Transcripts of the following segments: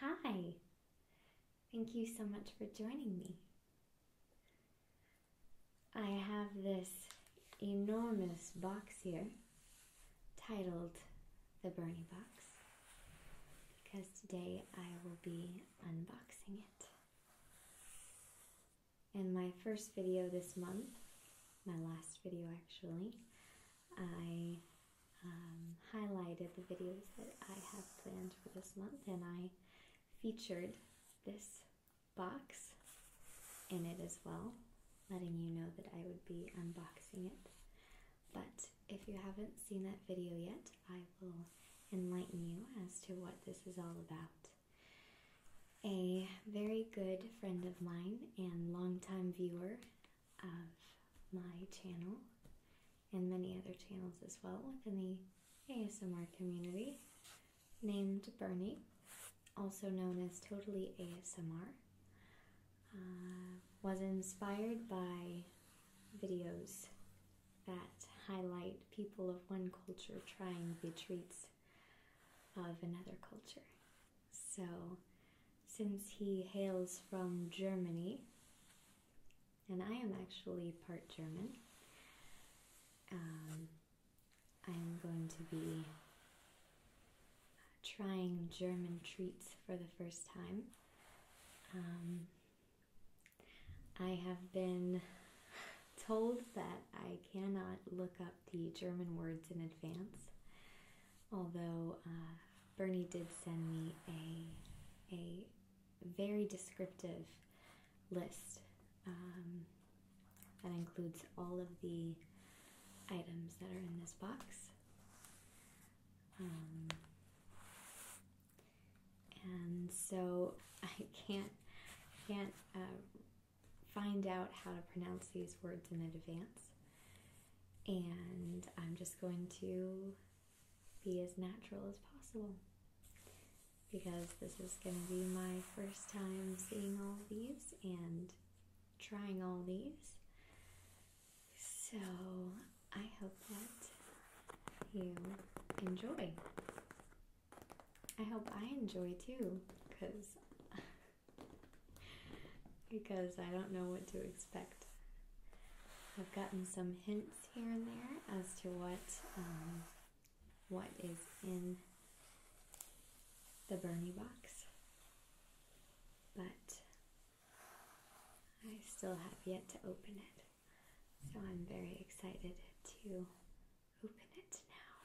Hi, thank you so much for joining me. I have this enormous box here titled The Bernie Box because today I will be unboxing it. In my first video this month, my last video actually, I um, highlighted the videos that I have planned for this month and I featured this box in it as well, letting you know that I would be unboxing it. But if you haven't seen that video yet, I will enlighten you as to what this is all about a very good friend of mine and longtime viewer of my channel and many other channels as well in the ASMR community named Bernie, also known as Totally ASMR. Uh, was inspired by videos that highlight people of one culture trying the treats of another culture. So, since he hails from Germany, and I am actually part German, I'm um, going to be trying German treats for the first time. Um, I have been told that I cannot look up the German words in advance, although uh, Bernie did send me a, a very descriptive list um, that includes all of the items that are in this box. Um, and so I can't can't uh, find out how to pronounce these words in advance, and I'm just going to be as natural as possible because this is going to be my first time seeing all these and trying all these. So I hope that you enjoy. I hope I enjoy too, because because I don't know what to expect. I've gotten some hints here and there as to what um, what is in the Bernie box, but I still have yet to open it, so I'm very excited to Open it now.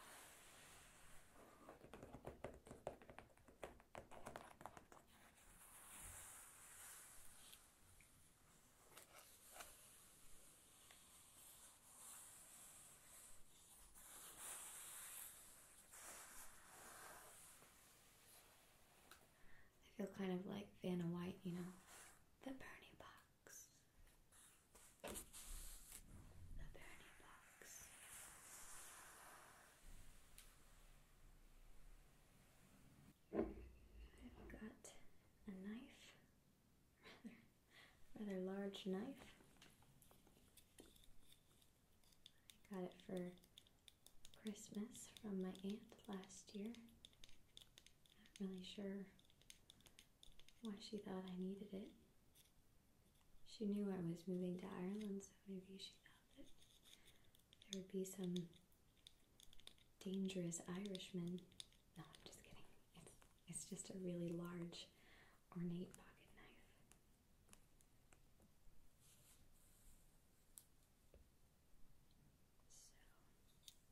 I feel kind of like Vanna White, you know, the Bernie box. I've got a knife, rather, rather large knife. I got it for Christmas from my aunt last year. Not really sure why she thought I needed it. She knew I was moving to Ireland, so maybe she thought that there would be some dangerous Irishman. No, I'm just kidding. It's, it's just a really large, ornate pocket knife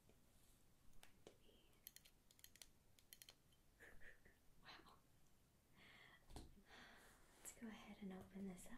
to be. wow. Let's go ahead and open this up.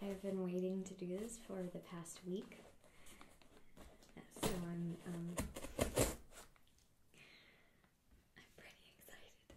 I've been waiting to do this for the past week, so I'm um, I'm pretty excited.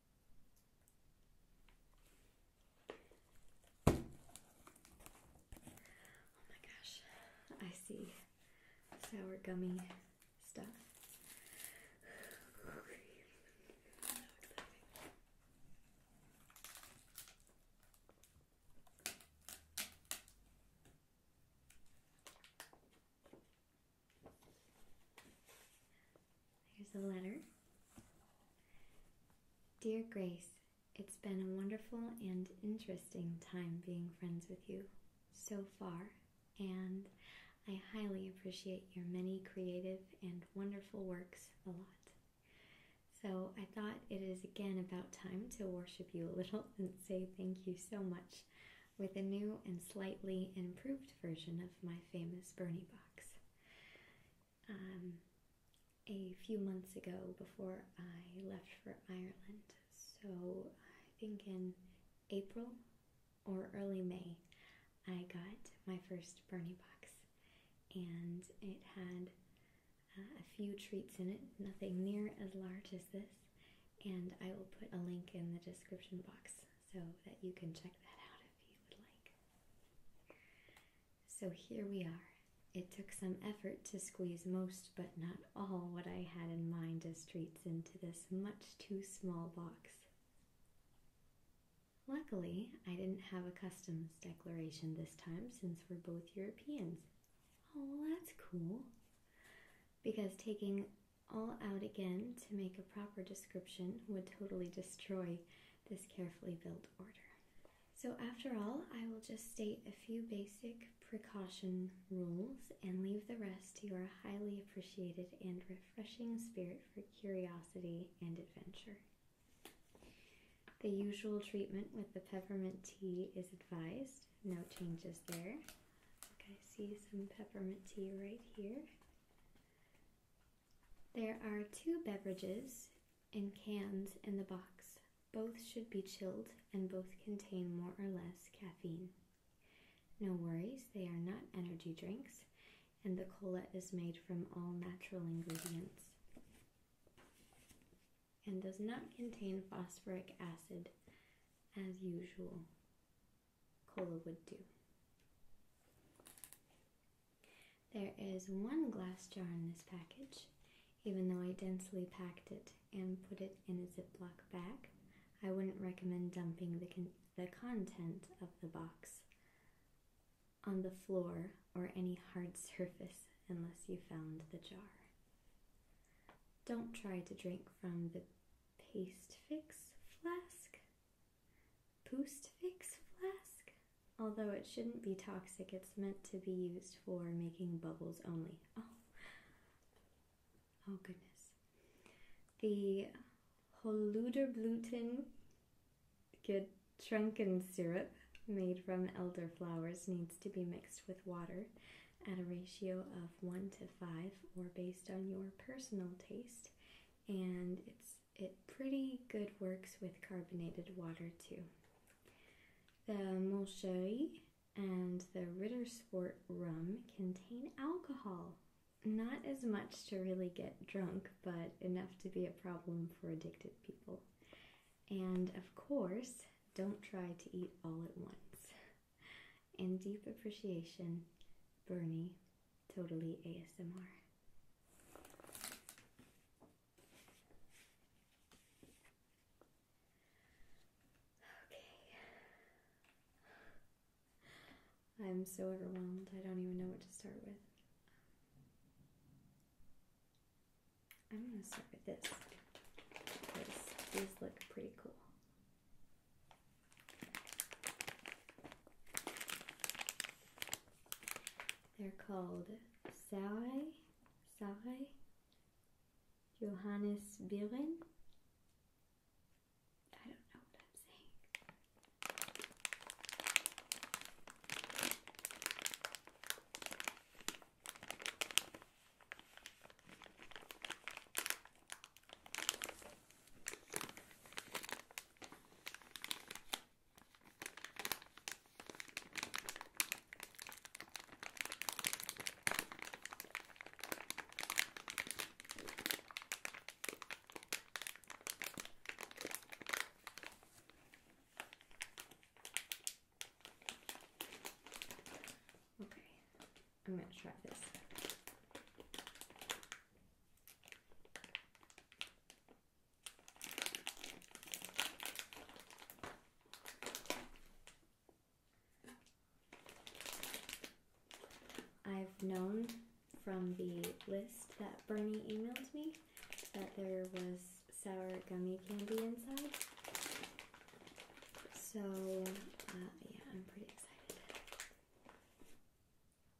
Oh my gosh, I see sour gummy stuff. There's the letter. Dear Grace, it's been a wonderful and interesting time being friends with you so far, and I highly appreciate your many creative and wonderful works a lot. So I thought it is again about time to worship you a little and say thank you so much with a new and slightly improved version of my famous Bernie box. Um, a few months ago before I left for Ireland. So I think in April or early May, I got my first Bernie box. And it had uh, a few treats in it, nothing near as large as this. And I will put a link in the description box so that you can check that out if you would like. So here we are. It took some effort to squeeze most, but not all, what I had in mind as treats into this much too small box. Luckily, I didn't have a customs declaration this time since we're both Europeans. Oh, that's cool. Because taking all out again to make a proper description would totally destroy this carefully built order. So, after all, I will just state a few basic precaution rules and leave the rest to your highly appreciated and refreshing spirit for curiosity and adventure. The usual treatment with the peppermint tea is advised, no changes there. I see some peppermint tea right here. There are two beverages in cans in the box. Both should be chilled and both contain more or less caffeine. No worries, they are not energy drinks, and the cola is made from all natural ingredients and does not contain phosphoric acid as usual cola would do. There is one glass jar in this package. Even though I densely packed it and put it in a ziplock bag, I wouldn't recommend dumping the, the content of the box on the floor or any hard surface unless you found the jar. Don't try to drink from the Paste Fix flask. Boost Fix flask. Although it shouldn't be toxic, it's meant to be used for making bubbles only. Oh, oh goodness. The Holuderblüten Getrunken syrup made from elderflowers needs to be mixed with water at a ratio of 1 to 5 or based on your personal taste and it's it pretty good works with carbonated water too. The Moncherie and the Rittersport rum contain alcohol. Not as much to really get drunk, but enough to be a problem for addicted people. And of course, don't try to eat all at once. In deep appreciation, Bernie Totally ASMR. Okay. I'm so overwhelmed, I don't even know what to start with. I'm gonna start with this because these look pretty cool. They're called Sarai, Sarai, Johannes Biren. I don't know what I'm saying. Okay, I'm going to try this. I've known from the list that Bernie emailed me that there was sour gummy candy inside. So, uh, yeah, I'm pretty excited.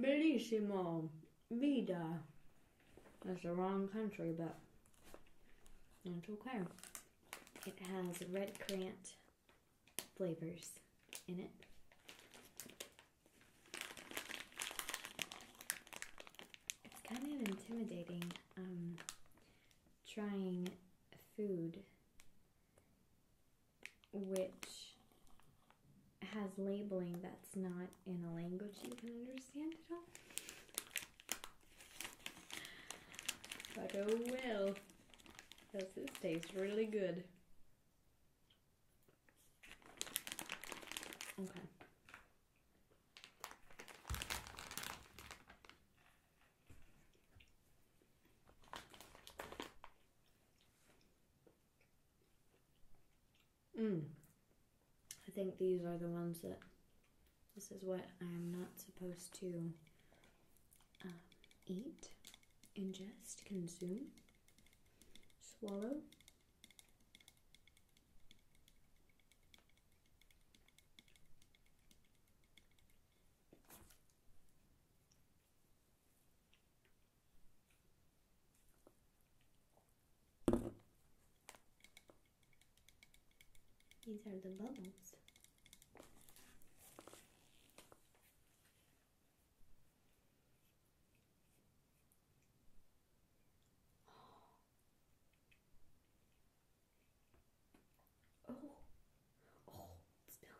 Bellissimo. Vida. That's the wrong country, but it's okay. It has red currant flavors in it. It's kind of intimidating um, trying food which has labeling that's not in a language you can understand at all. I go oh well, because this tastes really good. Okay. Mm. I think these are the ones that. This is what I'm not supposed to um, eat, ingest, consume, swallow. These are the bubbles. Oh, oh, it's spilling.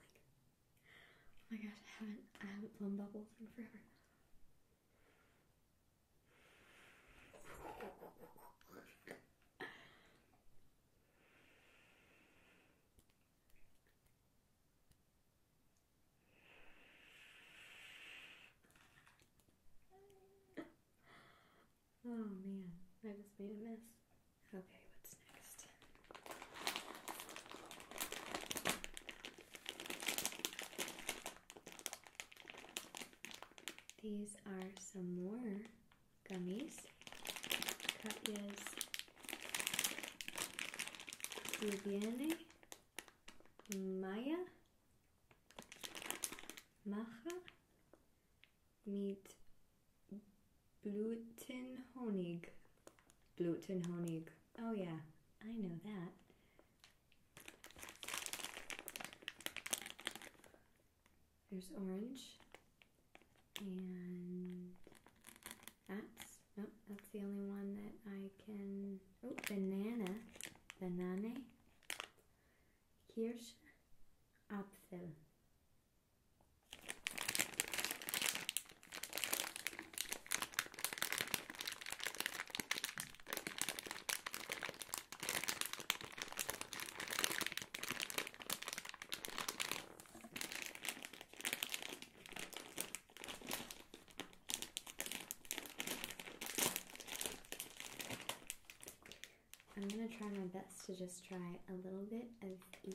Oh my gosh, I haven't I haven't blown bubbles in forever. oh man, I just made a mess. Okay, what's next? These are some more gummies. Katya's Viviane Maya Macha gluten mit gluten Blutenhonig. Oh yeah, I know that. There's orange. And that's, nope, that's the only one that I can, oh, banana, banane, Kirsch, Apfel. I'm going to try my best to just try a little bit of each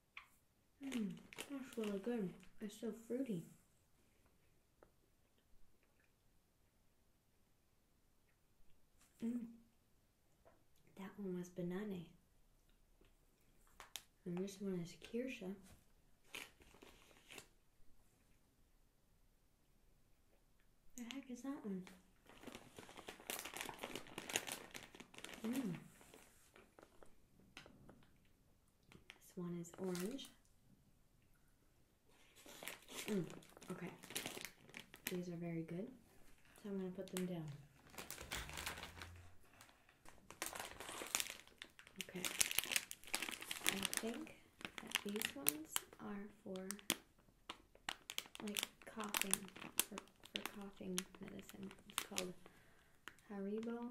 that's really good. It's so fruity. Hmm, that one was banana. And this one is Kirsha. The heck is that one? Hmm. This one is orange. Mm, okay, these are very good, so I'm going to put them down. Okay, I think that these ones are for like coughing, for, for coughing medicine. It's called Haribo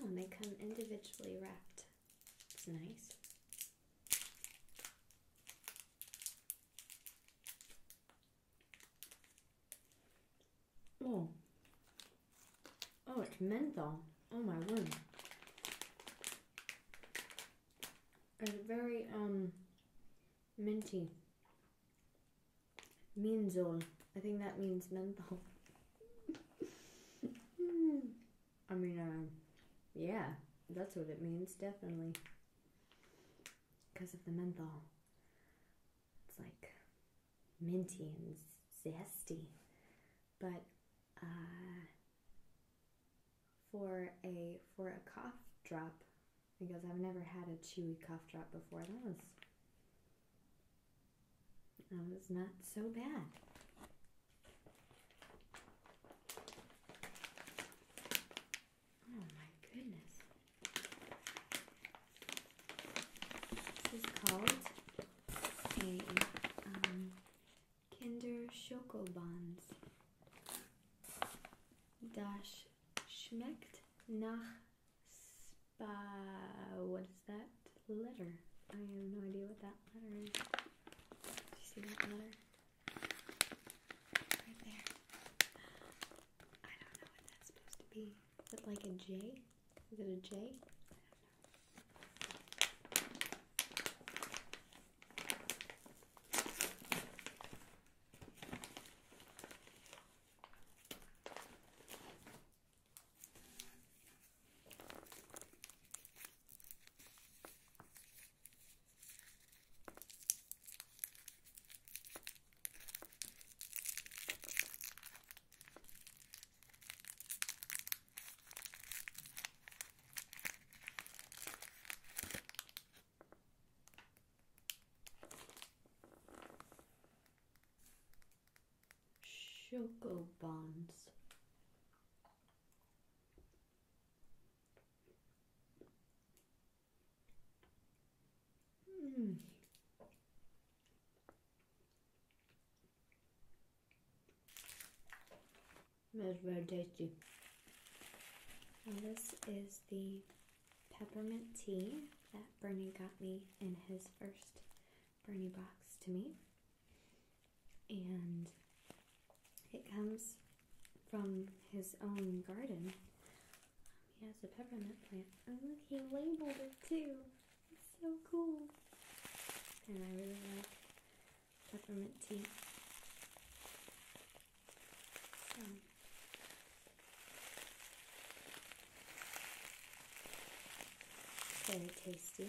Oh, and they come individually wrapped. It's nice. Oh. Oh, it's menthol. Oh my word. It's very um minty. Minzol. I think that means menthol. I mean, uh, yeah, that's what it means, definitely. Because of the menthol. It's like minty and zesty. But uh, for a for a cough drop, because I've never had a chewy cough drop before, that was that was not so bad. Oh my goodness. This is called a um, Kinder Schokobons. Das schmeckt nach spa. What is that letter? I have no idea what that letter is. Do you see that letter? Right there. I don't know what that's supposed to be. Is it like a J? Is it a J? Choco Bonds. Mm. this is the peppermint tea that Bernie got me in his first Bernie box to me. And it comes from his own garden. He has a peppermint plant. Oh look, he labeled it too. It's so cool. And I really like peppermint tea. very tasty.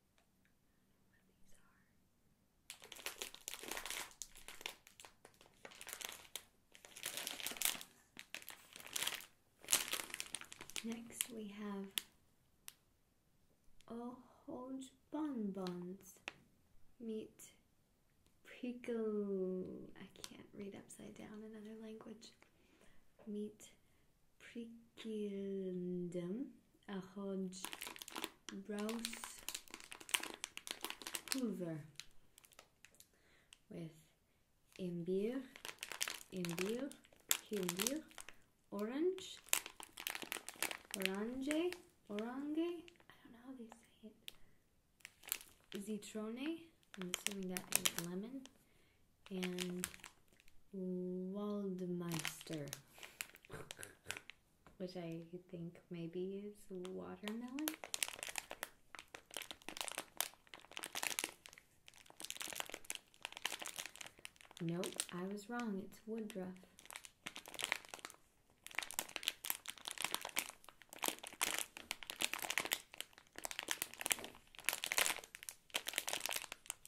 Next, we have a whole bonbons. Meat prickle. I can't read upside down another language. Meat prickeldum a hodge browse hoover with imbir, imbir, imbir, orange, orange, orange, I don't know how they say it, zitrone, I'm assuming that is lemon, and Waldmeister, which I think maybe is watermelon. Nope, I was wrong. It's woodruff.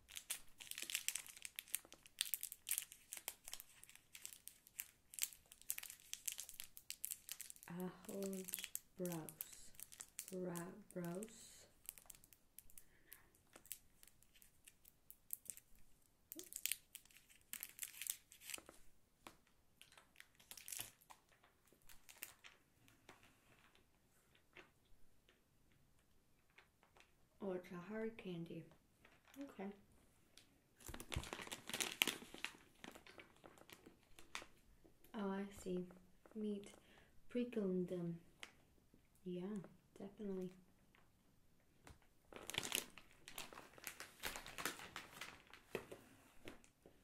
I hold brows. Ra brows. Oh, it's a hard candy. Okay. Oh, I see. Meat precone them. Yeah, definitely.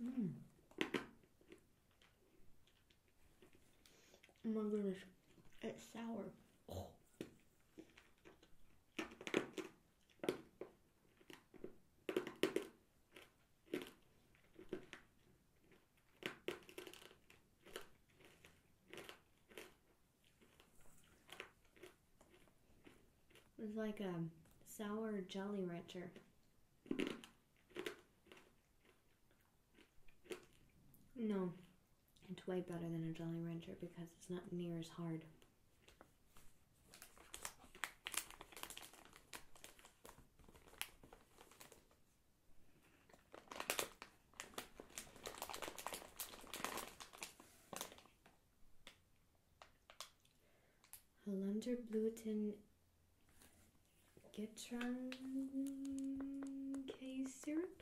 Mmm. Oh my goodness. It's sour. It's like a sour jelly rancher. No, it's way better than a Jolly Rancher because it's not near as hard. Hollander Gluten Getron K syrup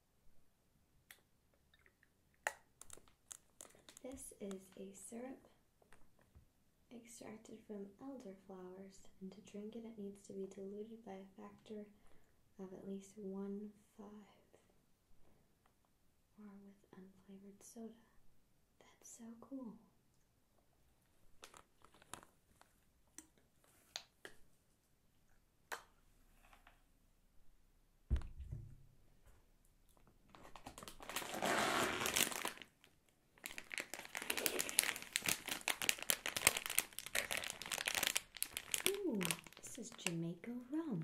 This is a syrup extracted from elderflowers, and to drink it, it needs to be diluted by a factor of at least 1 5 or with unflavored soda. That's so cool. Ooh, this is Jamaica rum.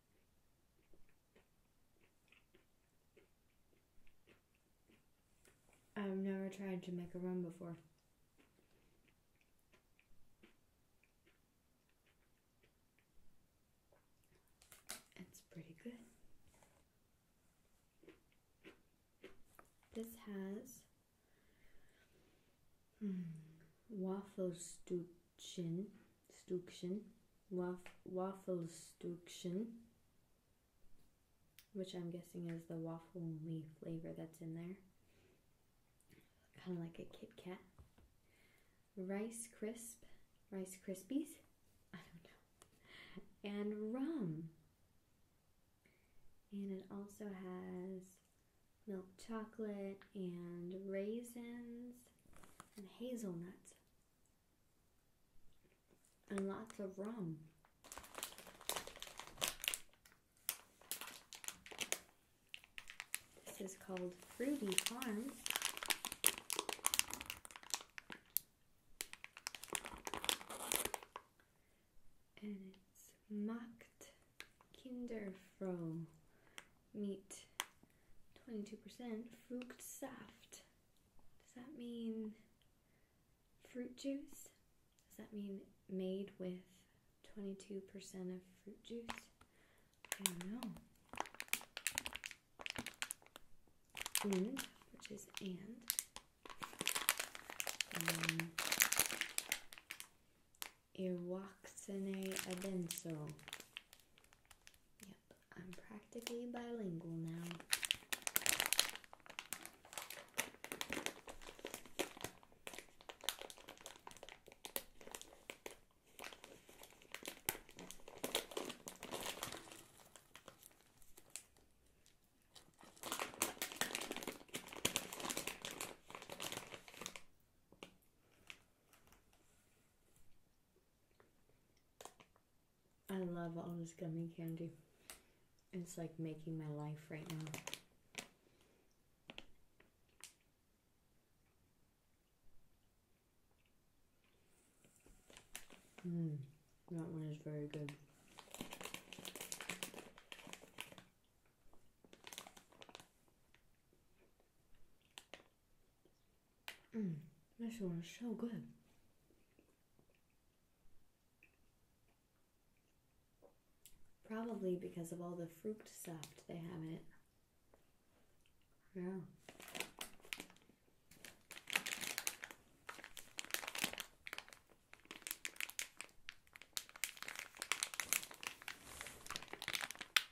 I've never tried to make a room before. It's pretty good. This has mm, waffle Stückchen, Stückchen, Waf Waffelstukchen, which I'm guessing is the waffle leaf flavor that's in there. Kind of like a Kit Kat. Rice Crisp, Rice Krispies, I don't know, and rum. And it also has milk chocolate and raisins and hazelnuts and lots of rum. This is called Fruity Farms. And it's mocked Kinderfroh meat. 22% fruit soft. Does that mean fruit juice? Does that mean made with 22% of fruit juice? I don't know. And, which is and. Um, Irwaxene Adenso. Yep, I'm practically bilingual now. I love all this gummy candy. It's like making my life right now. Mmm, that one is very good. Mm, this one is so good. Probably because of all the fruit stuff they have in it. Yeah.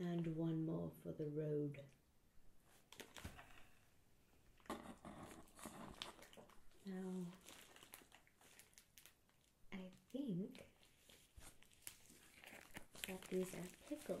and one more for the road. Now, I think that these are pickles.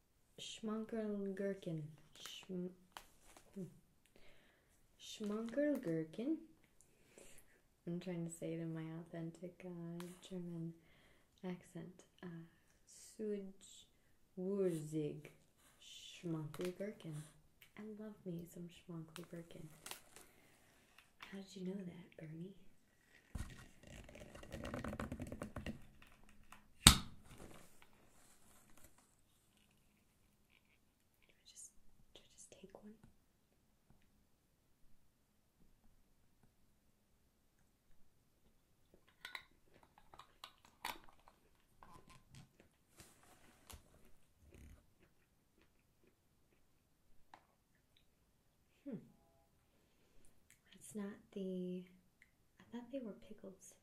Schmunkerl Gherkin. Schm hmm. Gherkin. I'm trying to say it in my authentic uh, German accent. Uh, Suj Wurzig Schmunkerl Gherkin. I love me some Schmunkerl Gherkin. How did you know that, Bernie? Do I just do I just take one? Hmm. It's not the. I thought they were pickles.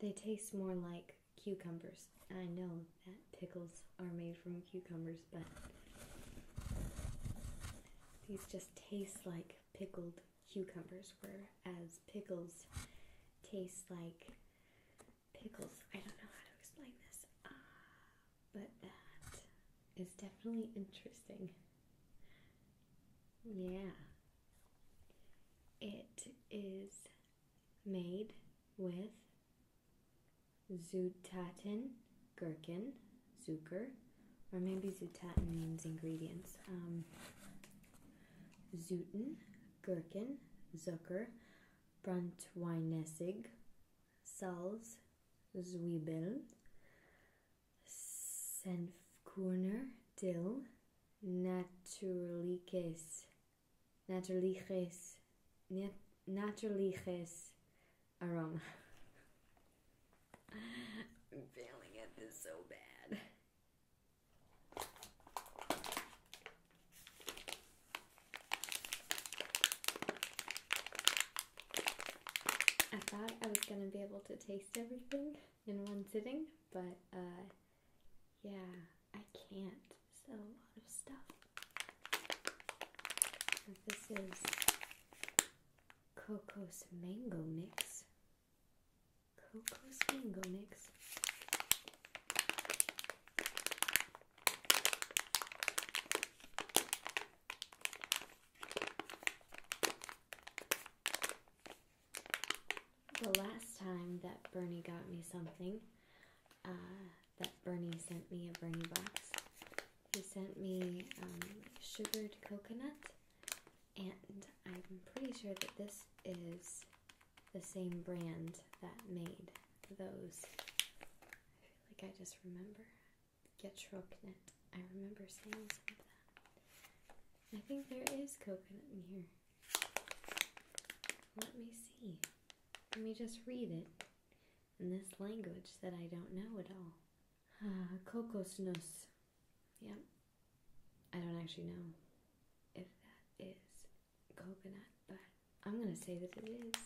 They taste more like cucumbers. I know that pickles are made from cucumbers, but these just taste like pickled cucumbers, whereas pickles taste like pickles. I don't know how to explain this, ah, but that is definitely interesting. Yeah. It is made with zutaten, gherkin, zucker, or maybe zutaten means ingredients. Um, zuten, gherkin, zucker, brandweinessig, salz, Zwiebeln, Senfkuhner dill, naturliches, naturliches, naturliches aroma. I'm failing at this so bad. I thought I was going to be able to taste everything in one sitting, but uh, yeah, I can't. So, a lot of stuff. this is Cocos Mango Mix. Cocos Mango Mix. The last time that Bernie got me something, uh, that Bernie sent me a Bernie box, he sent me um, sugared coconut, and I'm pretty sure that this is the same brand that made those. I feel like I just remember. Getrocknet. I remember saying something. that. I think there is coconut in here. Let me see. Let me just read it in this language that I don't know at all. Ah, Kokosnuss. Yep. I don't actually know if that is coconut, but I'm gonna say that it is.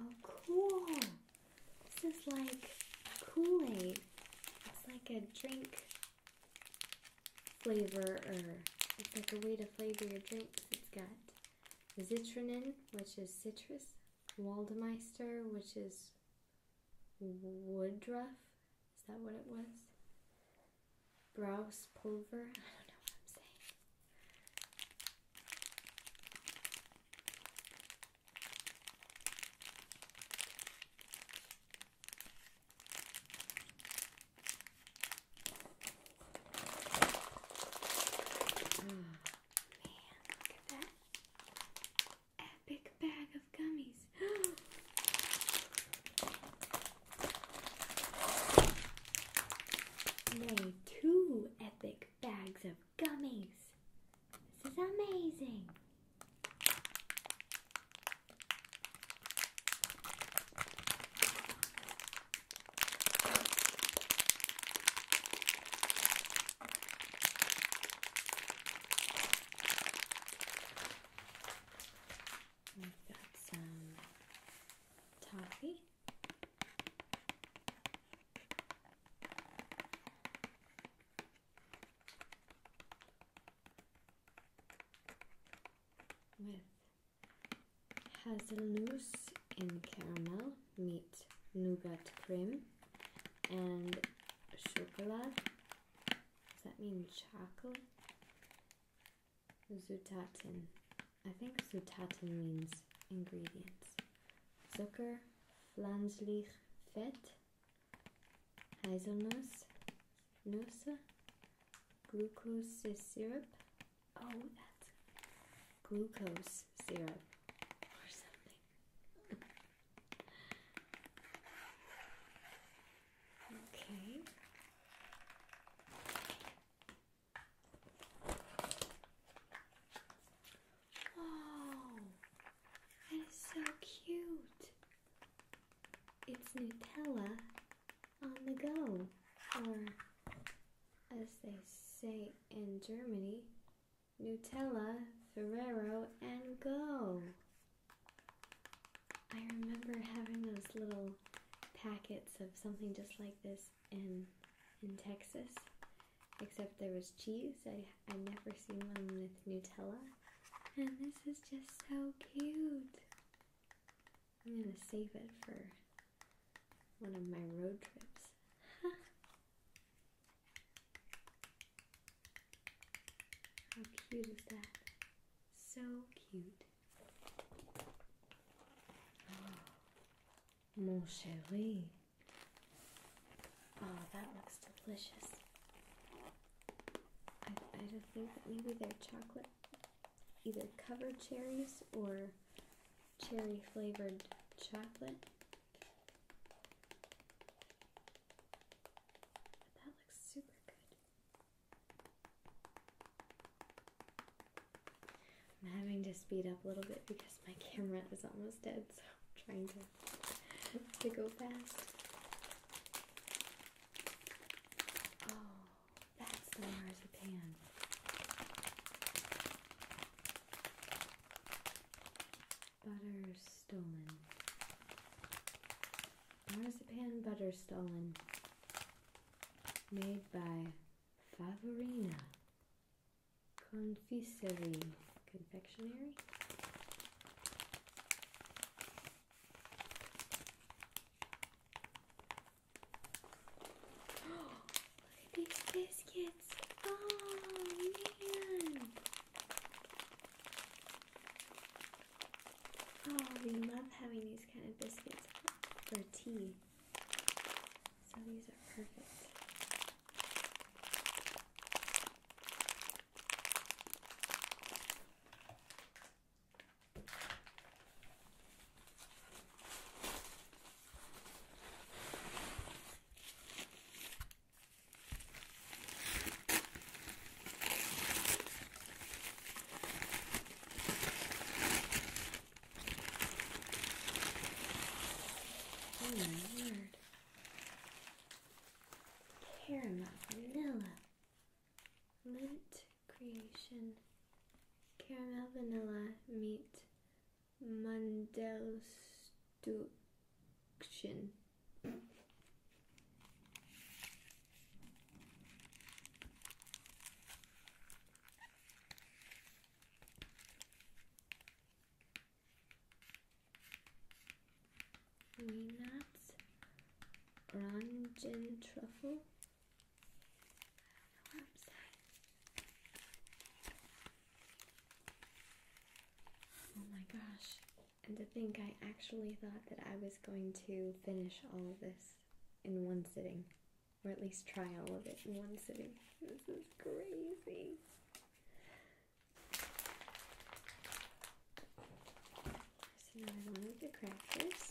Oh, cool. This is like Kool-Aid. It's like a drink flavor or it's like a way to flavor your drinks. It's got zitronine, which is citrus, Waldemeister, which is Woodruff. Is that what it was? Browse Pulver. Man, look at that epic bag of gummies. two epic bags of gummies. This is amazing. We've got some toffee. With hazelnuts in caramel meets nougat cream and chocolate. Does that mean chocolate? Zutaten. I think Zutaten means ingredients. Zucker, Flanslich, Fett, Hazelnuss, Nuss, glucose syrup. Oh, that's glucose syrup or something okay. Wow, oh, that is so cute. It's Nutella on the go, or as they say in Germany, Nutella, Ferrero, and Go. I remember having those little packets of something just like this in in Texas, except there was cheese. I I never seen one with Nutella, and this is just so cute. I'm gonna save it for one of my road trips. How cute is that? So cute. Oh, mon chéri. Oh, that looks delicious. I, don't think that maybe they're chocolate, either covered cherries or cherry flavored chocolate. That looks super good. I'm having to speed up a little bit because my camera is almost dead, so I'm trying to, to go fast. Oh, that's the marzipan butter stolen. Marzipan butter stolen. Made by Favorina Confiserie Confectionery. Oh, these biscuits. Oh man! Oh, we love having these kind of biscuits for tea. So these are perfect. Caramel, vanilla, mint creation, caramel, vanilla, meat, Mandelstuktion. Peanuts, orange truffle. Oh my gosh. And to think I actually thought that I was going to finish all of this in one sitting, or at least try all of it in one sitting. This is crazy. There's another one with the crackers.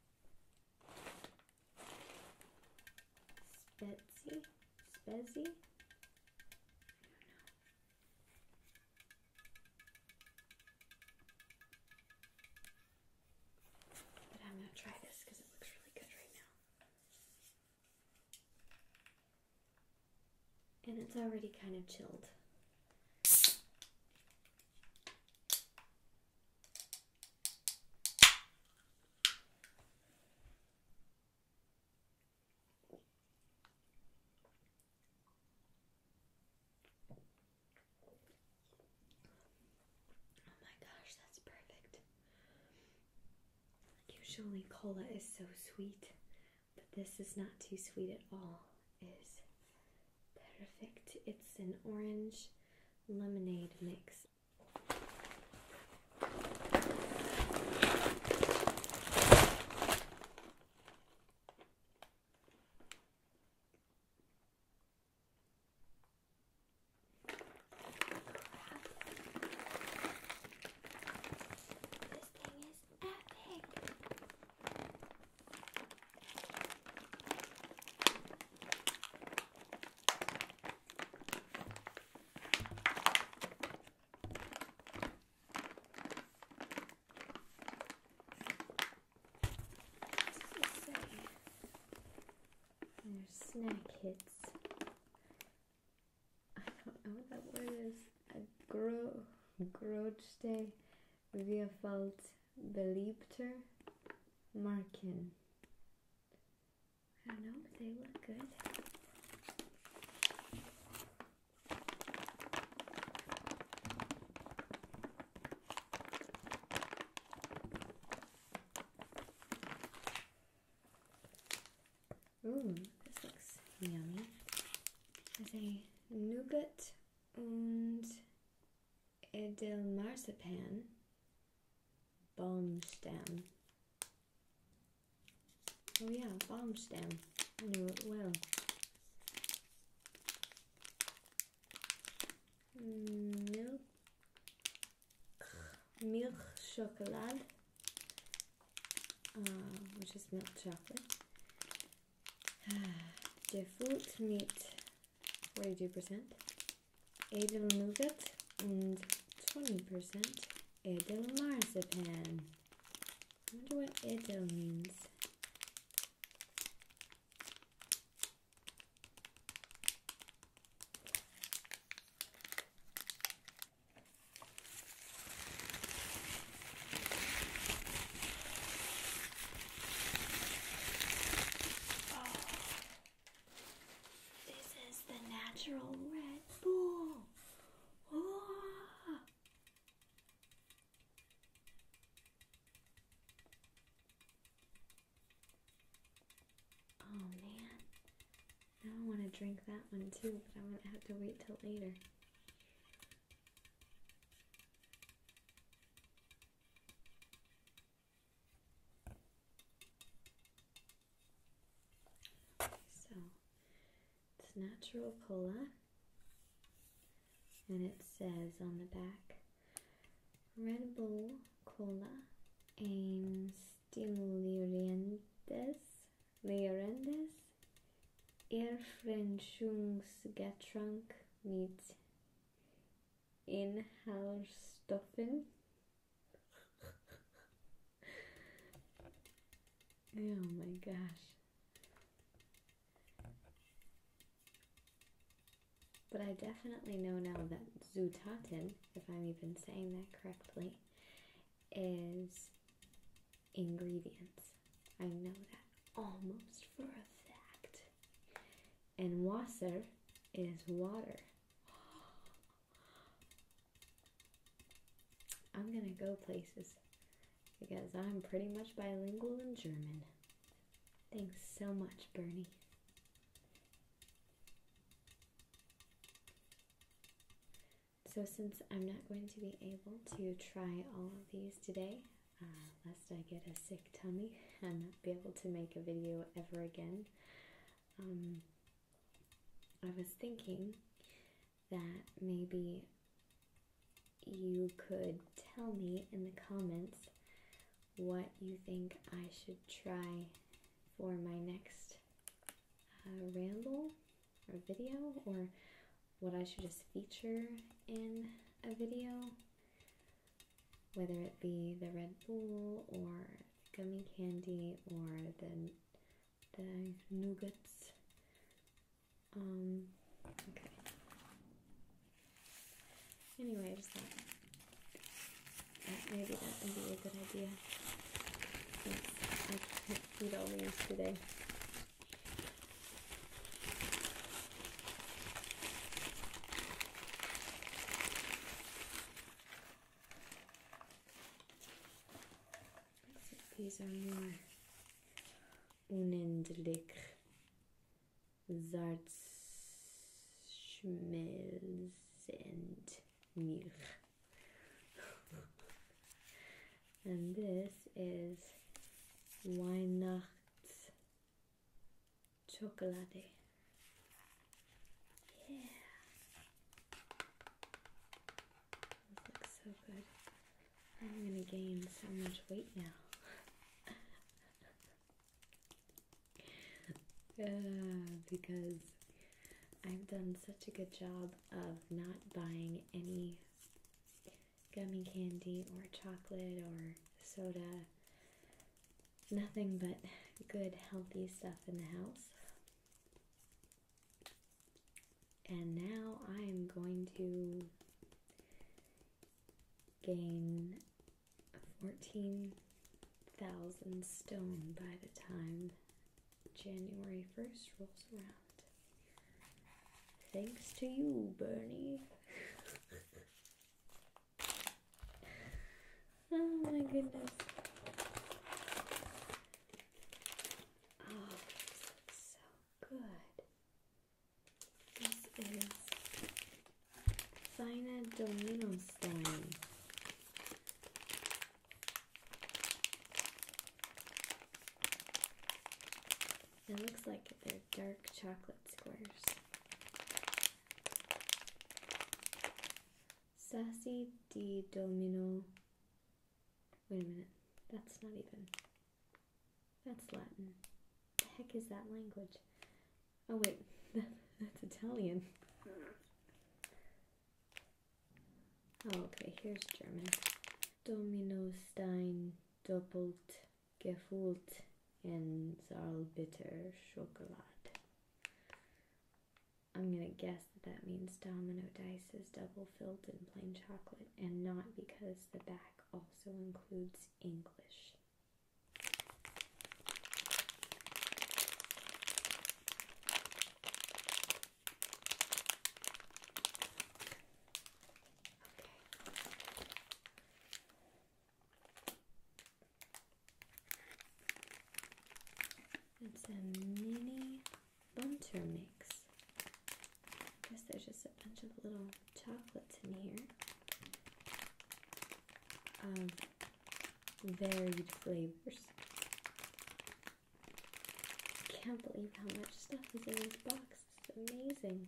Spezzi? Spezzi? But I'm gonna try this because it looks really good right now. And it's already kind of chilled. Oh my gosh, that's perfect. Usually cola is so sweet, but this is not too sweet at all is perfect. It's an orange lemonade mix. And there's snack hits. I don't know what that word is. A gro grotste Vierfalt beliebter Marken. I don't know, but they look good. Ooh, this looks yummy. There's a nougat and Edelmarzipan bomb stem. Oh yeah, bomb stem. I knew it well. Milk, milk chocolate, uh, ah, which is milk chocolate. the fruit meat 42%, Edelnougat, and 20% Edelmarzipan. I wonder what Edel means. Oh, this is the natural Red Bull. Oh. Oh man. Now I want to drink that one too, but I'm going to have to wait till later. So it's natural cola, and it says on the back Red Bull Cola aims stimulerandes, leerandes, Erfrischungsgetränk mit in-house stuffing. oh my gosh. But I definitely know now that Zutaten, if I'm even saying that correctly, is ingredients. I know that almost for a fact and Wasser is water. I'm gonna go places because I'm pretty much bilingual in German. Thanks so much, Bernie. So, since I'm not going to be able to try all of these today, uh, lest I get a sick tummy and not be able to make a video ever again. Um, I was thinking that maybe you could tell me in the comments what you think I should try for my next uh, ramble or video or what I should just feature in a video whether it be the Red Bull or gummy candy or the the nougats. Um, okay. Anyway, I just thought maybe that would be a good idea since I not eat today. These are more unendlich Salzschmelzend Milch. and this is Weihnachts chocolate. Yeah. looks so good. I'm gonna gain so much weight now. because I've done such a good job of not buying any gummy candy or chocolate or soda nothing but good, healthy stuff in the house. And now I am going to gain 14,000 stone by the time January 1st rolls around. Thanks to you, Bernie. Oh my goodness. Oh, so good. This is Fina Domino style. It looks like they're dark chocolate squares. Sassy di Domino. Wait a minute. That's not even. That's Latin. The heck is that language? Oh, wait. That's Italian. Oh, okay. Here's German. Domino Stein doppelt gefüllt and Zarlbitter Schokolade. I'm gonna guess that that means domino dice is double filled in plain chocolate and not because the back also includes English. It's a mini bunter mix. I guess there's just a bunch of little chocolates in here of varied flavors. Can't believe how much stuff is in this box. It's amazing.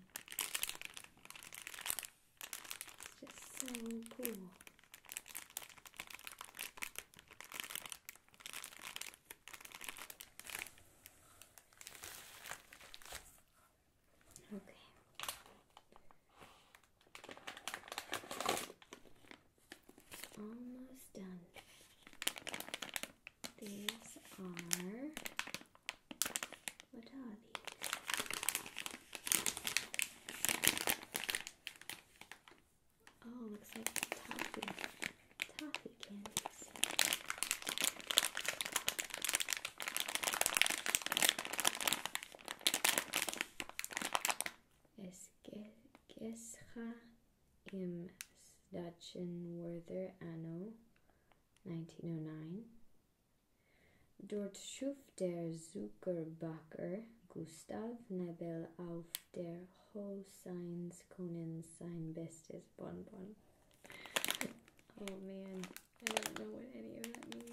It's Just so cool. Okay. almost done. These are what are of these. Oh, looks im Stadtchen Werther Anno 1909 Dort schuf der Zuckerbacker Gustav Nebel auf der Hochseinskunden sein bestes Bonbon. Oh man, I don't know what any of that means.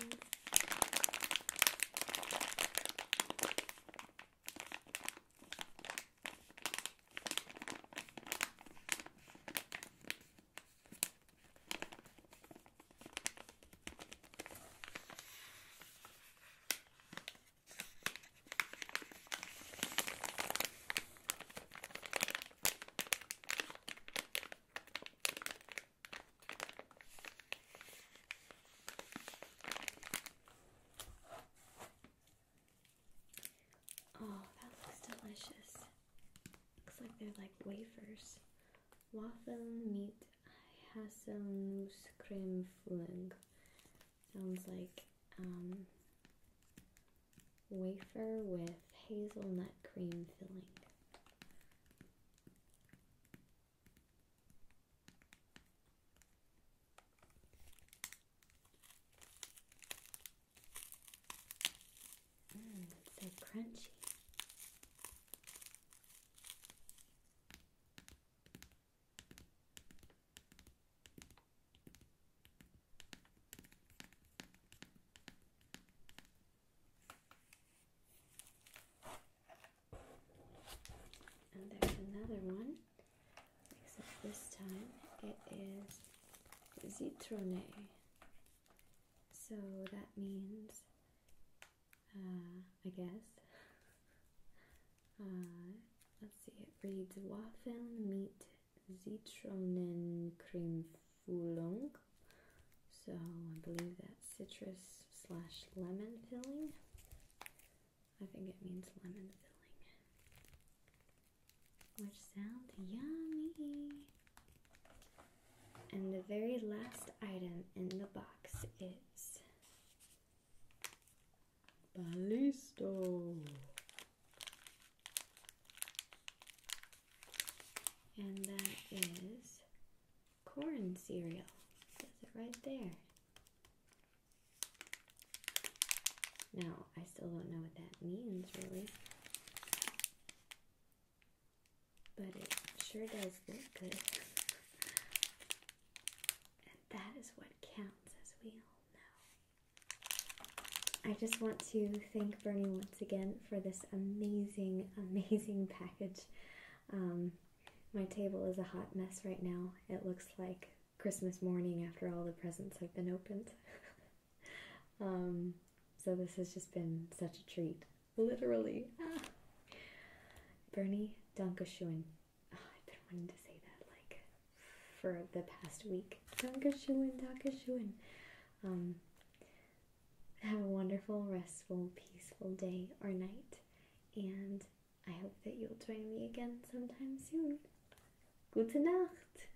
Oh, that looks delicious. Looks like they're like wafers waffle meat haselnuss cream filling. Sounds like um, wafer with hazelnut cream filling. Mmm, so crunchy. And there's another one, except this time it is zitrone. So that means uh, I guess. Uh, let's see, it reads wafel Waffeln mit Zitronencremefüllung. So I believe that citrus slash lemon filling. I think it means lemon filling, which sounds yummy. And the very last item in the box is Balisto. And that is corn cereal. It says it right there. Now, I still don't know what that means, really but it sure does look good. And that is what counts, as we all know. I just want to thank Bernie once again for this amazing, amazing package. Um, my table is a hot mess right now. It looks like Christmas morning after all the presents have been opened. Um, so this has just been such a treat. Literally. Bernie Dunkashuin. Ah, I've been wanting to say that like for the past week. Dunkashuin, Dunkashuin. Um, have a wonderful, restful, peaceful day or night. And I hope that you'll join me again sometime soon. Gute Nacht!